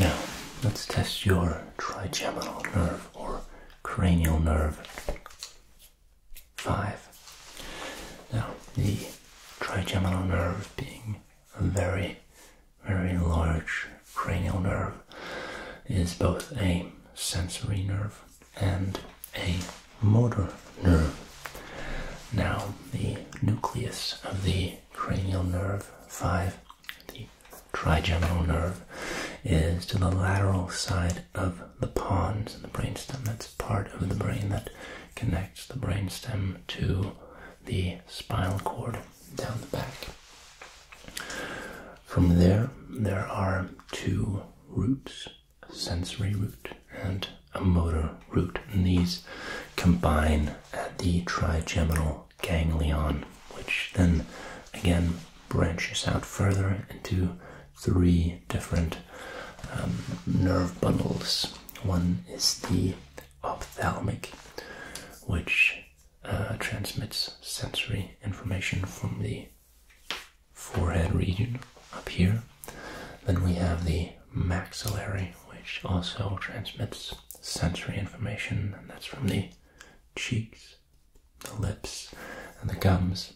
Now, let's test your trigeminal nerve or cranial nerve 5. Now, the trigeminal nerve being a very, very large cranial nerve is both a sensory nerve and a motor nerve. Now, the nucleus of the cranial nerve 5, the trigeminal nerve, is to the lateral side of the pons in the brainstem. That's part of the brain that connects the brainstem to the spinal cord down the back. From there, there are two roots, a sensory root and a motor root. these combine uh, the trigeminal ganglion, which then again branches out further into three different um, nerve bundles. One is the ophthalmic, which uh, transmits sensory information from the forehead region up here. Then we have the maxillary, which also transmits sensory information, and that's from the cheeks, the lips, and the gums.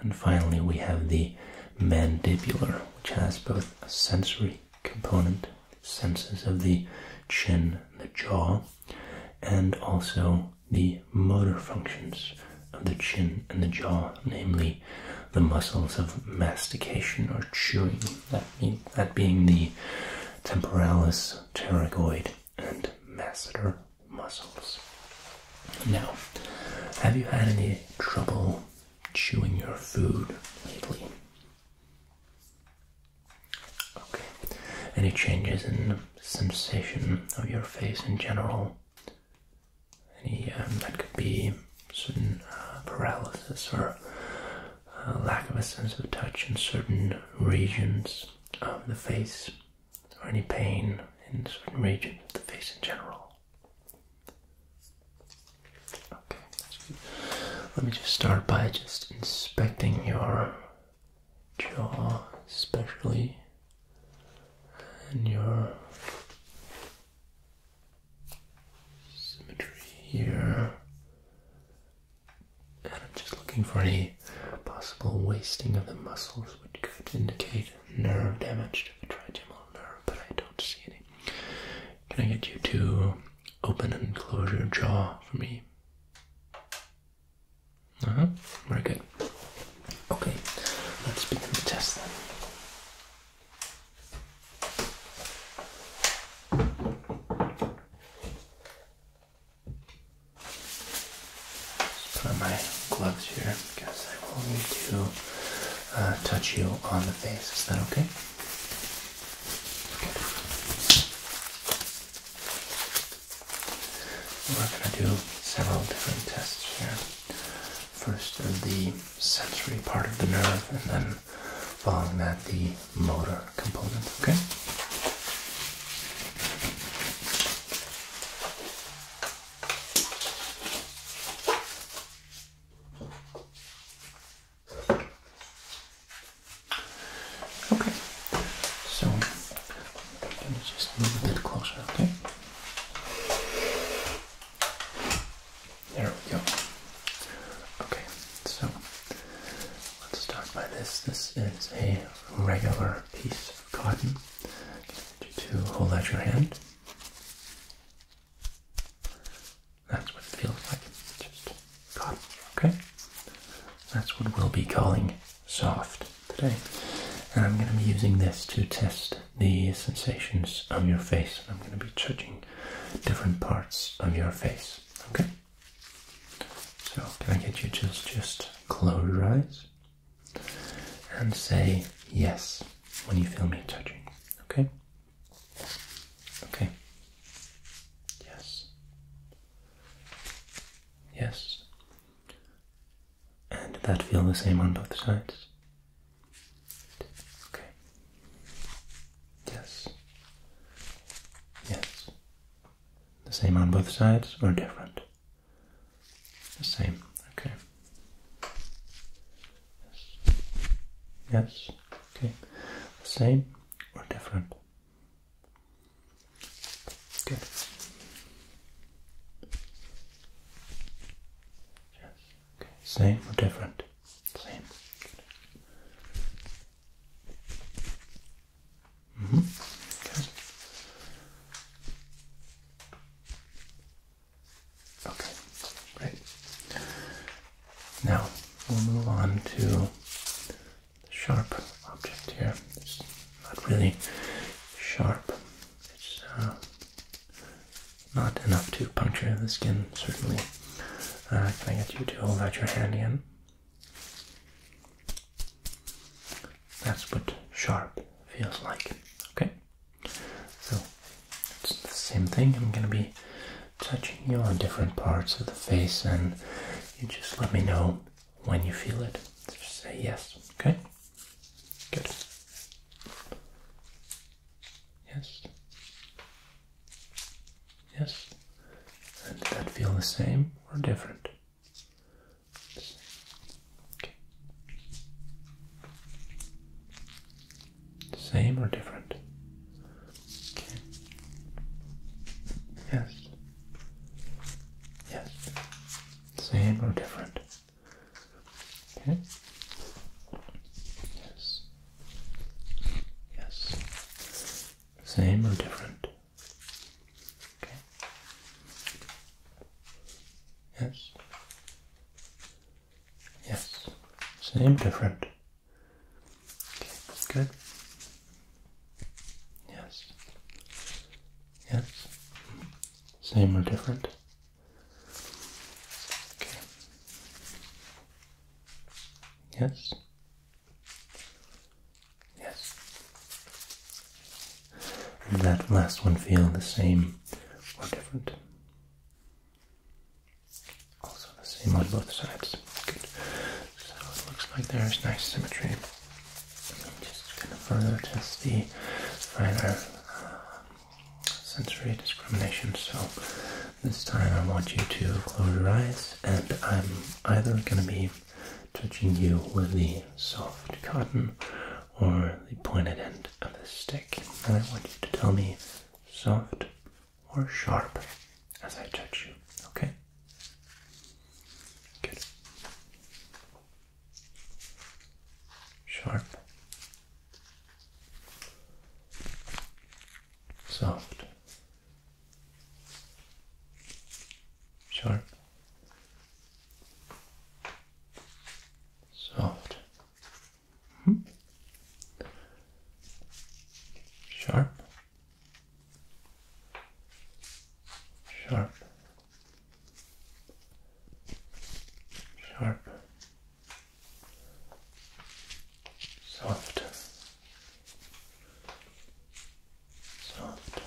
And finally, we have the mandibular, which has both a sensory component, senses of the chin, the jaw, and also the motor functions of the chin and the jaw, namely the muscles of mastication or chewing that, be, that being the temporalis, pterygoid, and masseter muscles. Now, have you had any trouble chewing your food lately? Any changes in sensation of your face in general? Any um, that could be certain uh, paralysis or uh, lack of a sense of touch in certain regions of the face, or any pain in certain regions of the face in general. Okay, let me just start by just inspecting your jaw, especially, and your symmetry here. And I'm just looking for any possible wasting of the muscles which could indicate nerve damage to the trigeminal nerve, but I don't see any. Can I get you to open and close your jaw for me? Uh huh. Very good. Okay, let's begin the test then. Just put on my gloves here because I will need to uh, touch you on the face. Is that okay? We're going to do several different tests here. First, the sensory part of the nerve, and then following that the motor component, okay? Okay, so let me just move a bit closer, okay? There we go. Okay, so let's start by this. This is a regular piece of cotton. To hold out your hand. That's what it feels like. Just cotton. Okay. That's what we'll be calling soft today. And I'm going to be using this to test the sensations on your face. I'm going to be judging different parts of your face. Okay. So can I get you just just close your eyes and say yes when you feel me touching? Okay. Okay. Yes. Yes. And did that feel the same on both sides? Okay. Yes. Yes. The same on both sides or different? The same. Okay. Yes. Yes. Okay. The same or different? Okay. Yes. Same or different? Same. Mm-hmm. okay. okay, Now we'll move on to the sharp object here. It's not really sharp. It's uh, not enough to puncture the skin, certainly. Uh, can I get you to hold out your hand in? That's what sharp feels like. Okay? So it's the same thing. I'm gonna be touching you on different parts of the face and you just let me know when you feel it. Just say yes, okay? Good. Yes. Yes. did that feel the same or different? Same or different? Yes. Yes. Same or different? Yes. Yes. Same or different? Okay. Yes. Yes. Same, different. Okay, good. Yes. Yes. Same or different? Okay. Yes. Yes. Did that last one feel the same or different? Also the same on both sides. Good. So it looks like there's nice symmetry. I'm just gonna further test the finer uh, sensory discrimination. So this time I want you to close your eyes and I'm either going to be touching you with the soft cotton or the pointed end of the stick. And I want you to tell me soft or sharp as I touch you, okay? Good. Sharp soft, sharp, soft, -hmm. sharp, sharp, sharp soft, soft,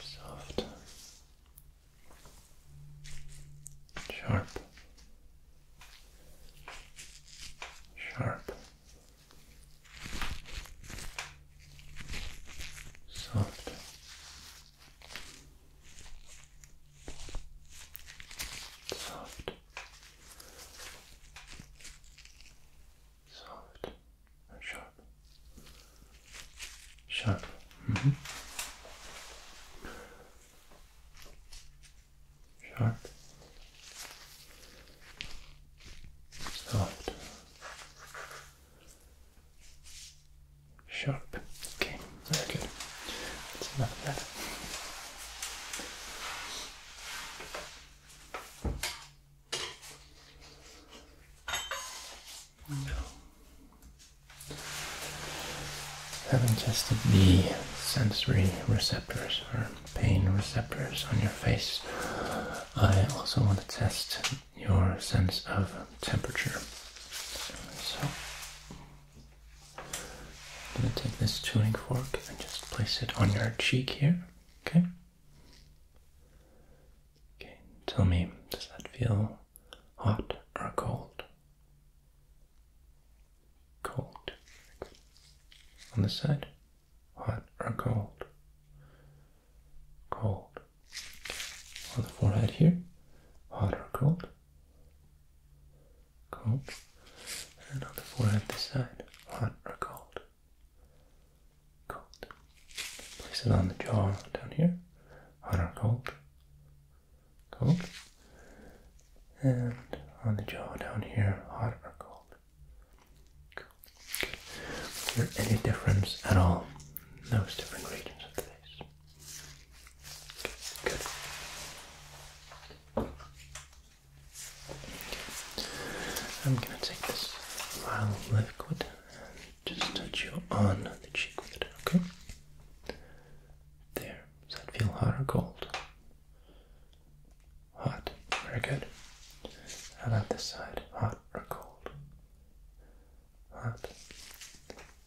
soft, sharp, sharp, soft soft, soft, sharp, sharp. Mm -hmm. Sharp, soft, sharp. Okay, Okay. good. That's enough of that. No. Having tested the sensory receptors or pain receptors on your face, I also want to test your sense of temperature. So I'm going to take this tuning fork and just place it on your cheek here, okay? Okay, tell me, does that feel hot or cold? Cold. On this side? Hot or cold? Cold. On the forehead here? Hot or cold? Cold. And on the forehead this side. Hot or cold? Cold. Place it on the jaw down here. Hot or cold? Cold. And on the jaw down here. Hot or cold? Cold. Was there any difference at all those different regions of the face? I'm going to take this vial of liquid and just touch you on the cheek with it, okay? There. Does that feel hot or cold? Hot. Very good. How about this side? Hot or cold? Hot.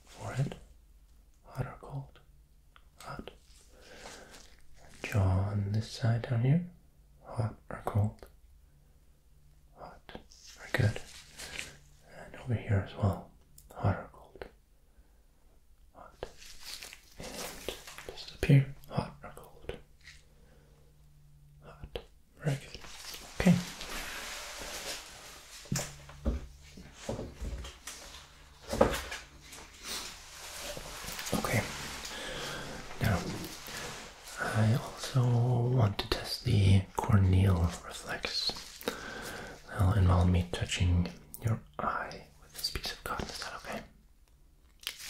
Forehead? Hot or cold? hot. Jaw on this side down here, hot or cold? Hot. Very good. And over here as well, hot or cold? Hot. And just up here, hot or cold? Hot. Very good. Okay. Okay. Now, I also want to test the corneal reflex. That'll involve me touching your eye with this piece of cotton. Is that okay?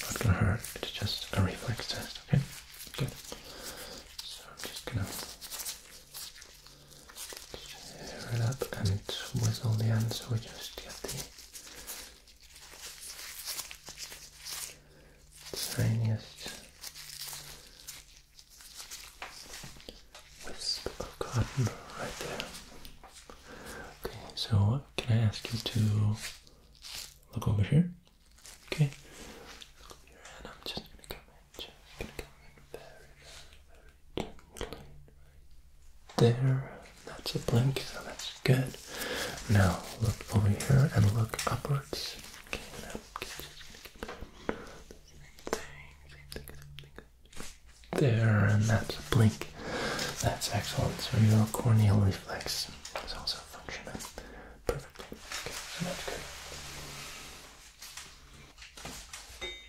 Not gonna hurt. It's just a reflex test. Okay. Good. So I'm just gonna Share it up and with all the ends we just get the tiniest wisp of cotton right there. Okay, so can I ask you to look over here? Okay there. That's a blink, so that's good. Now look over here and look upwards. there, and that's a blink. That's excellent. So your corneal reflex is also functioning perfectly. Okay, so that's good.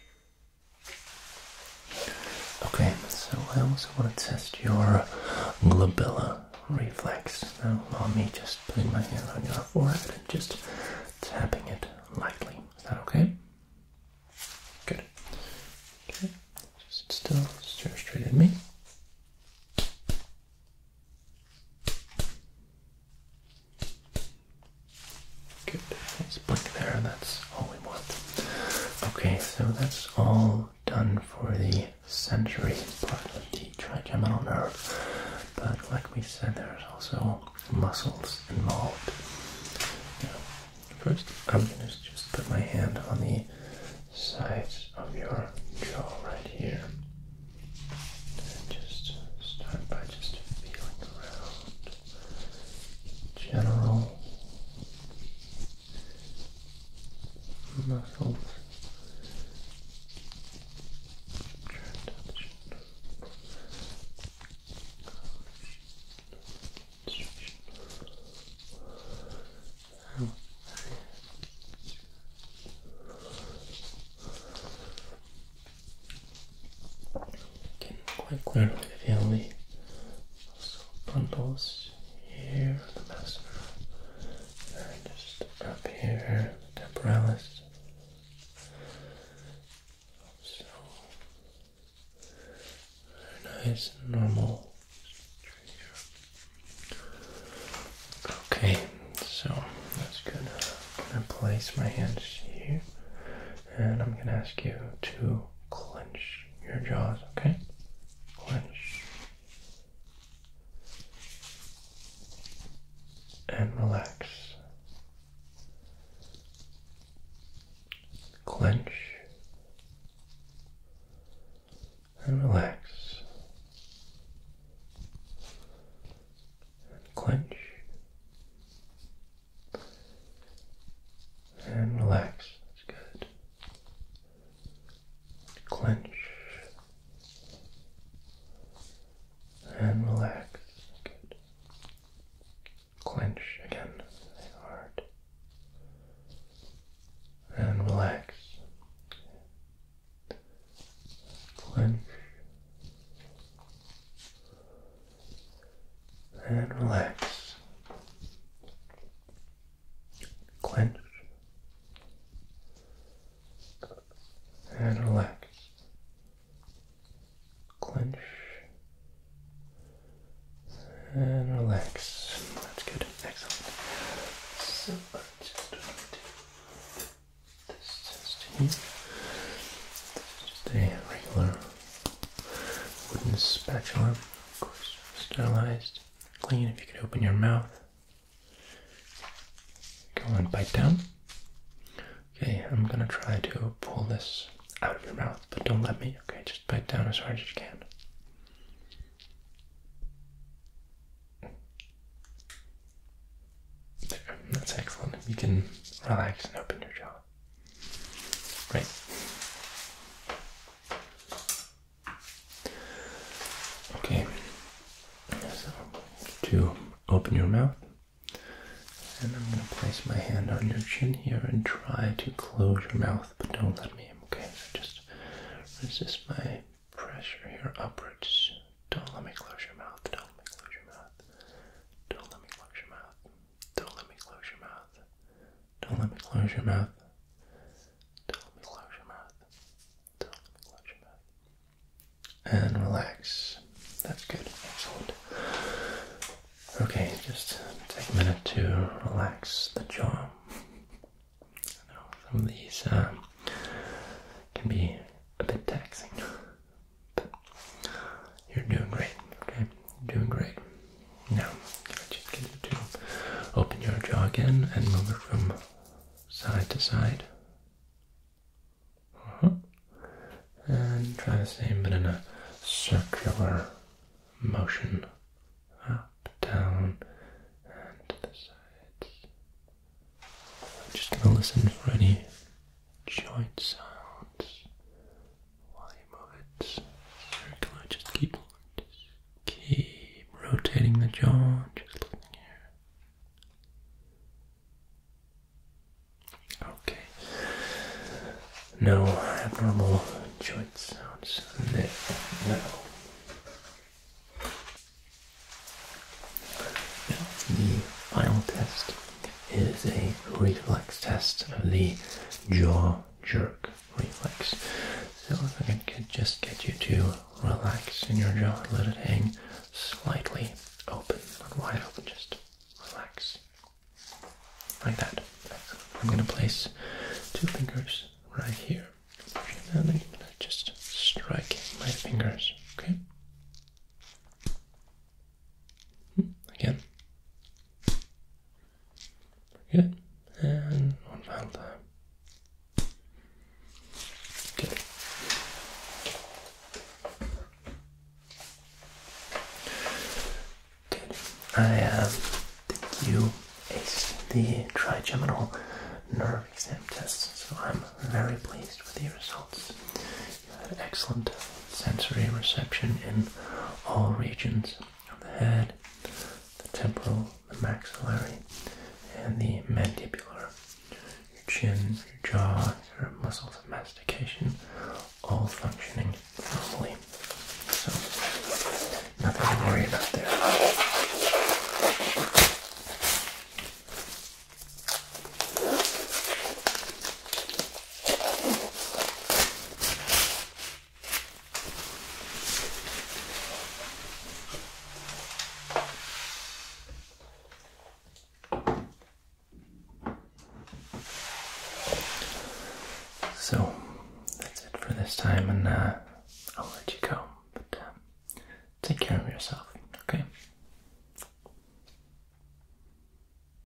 Okay, so I also want to test your labella reflex. Now, on me just putting my hand on your forehead and just tapping it lightly. Is that okay? Good. Okay, just still stare straight at me. Good. Nice blink there. That's all we want. Okay, so that's all done for the sensory part of the trigeminal nerve. But like we said, there's also muscles involved. first, I'm going to just put my hand on the sides of your jaw right here. And just start by just feeling around general muscles quite clearly bundles here, the masseter, and just up here, the temporalis. So very nice and normal. Okay, so I'm gonna place my hands here and I'm going to ask you to clench your jaws, okay? Clench and relax. Clench and relax. And clench and relax. That's good. Clench. And relax. Good. Clench again. Hard. And relax. Clench and relax. Clench and relax. Clench and relax. That's good. Excellent. So i just going this test here. just a regular wooden spatula, of course, sterilized, clean. If you can open your mouth, go and bite down. Okay, I'm gonna try to pull this out of your mouth, but don't let me. Okay, just bite down as hard as you can. There, that's excellent. You can relax and open your jaw. Great. Okay, so to open your mouth, and I'm going to place my hand on your chin here and try to close your mouth, but don't let me. Okay, so just resist my pressure here upwards. Don't let me close your mouth. Don't let me close your mouth. Don't let me close your mouth. Don't let me close your mouth. Don't let me close your mouth. Don't let me close your mouth. Don't let me close your mouth. And relax. That's good. Excellent. Okay, just take a minute to relax the jaw. I know some of these uh, can be a bit taxing, you're doing great, okay? You're doing great. Now, I just get you to open your jaw again and move it from side to side? Uh-huh. And try the same, but in a circular motion. Up, down, and to the sides. I'm just gonna listen for any joint sounds while you it Just keep, keep rotating the jaw. Just looking here. Okay. No abnormal joint sounds No. Now the final test is a reflex test of the jaw jerk reflex. So I can just get you to relax in your jaw and let it hang slightly open, not wide open, just relax. Like that. I'm going to place two fingers right here. And just strike my fingers, okay? Again. Good. And one final time. Good. I have, um, you aced the trigeminal nerve exam test, so I'm very pleased with the results excellent sensory reception in all regions of the head, the temporal, the maxillary, and the mandibular. Your chin, your jaw, your muscles of mastication, all functioning normally. So, nothing to worry about there. So that's it for this time, and uh, I'll let you go. But um, take care of yourself, okay?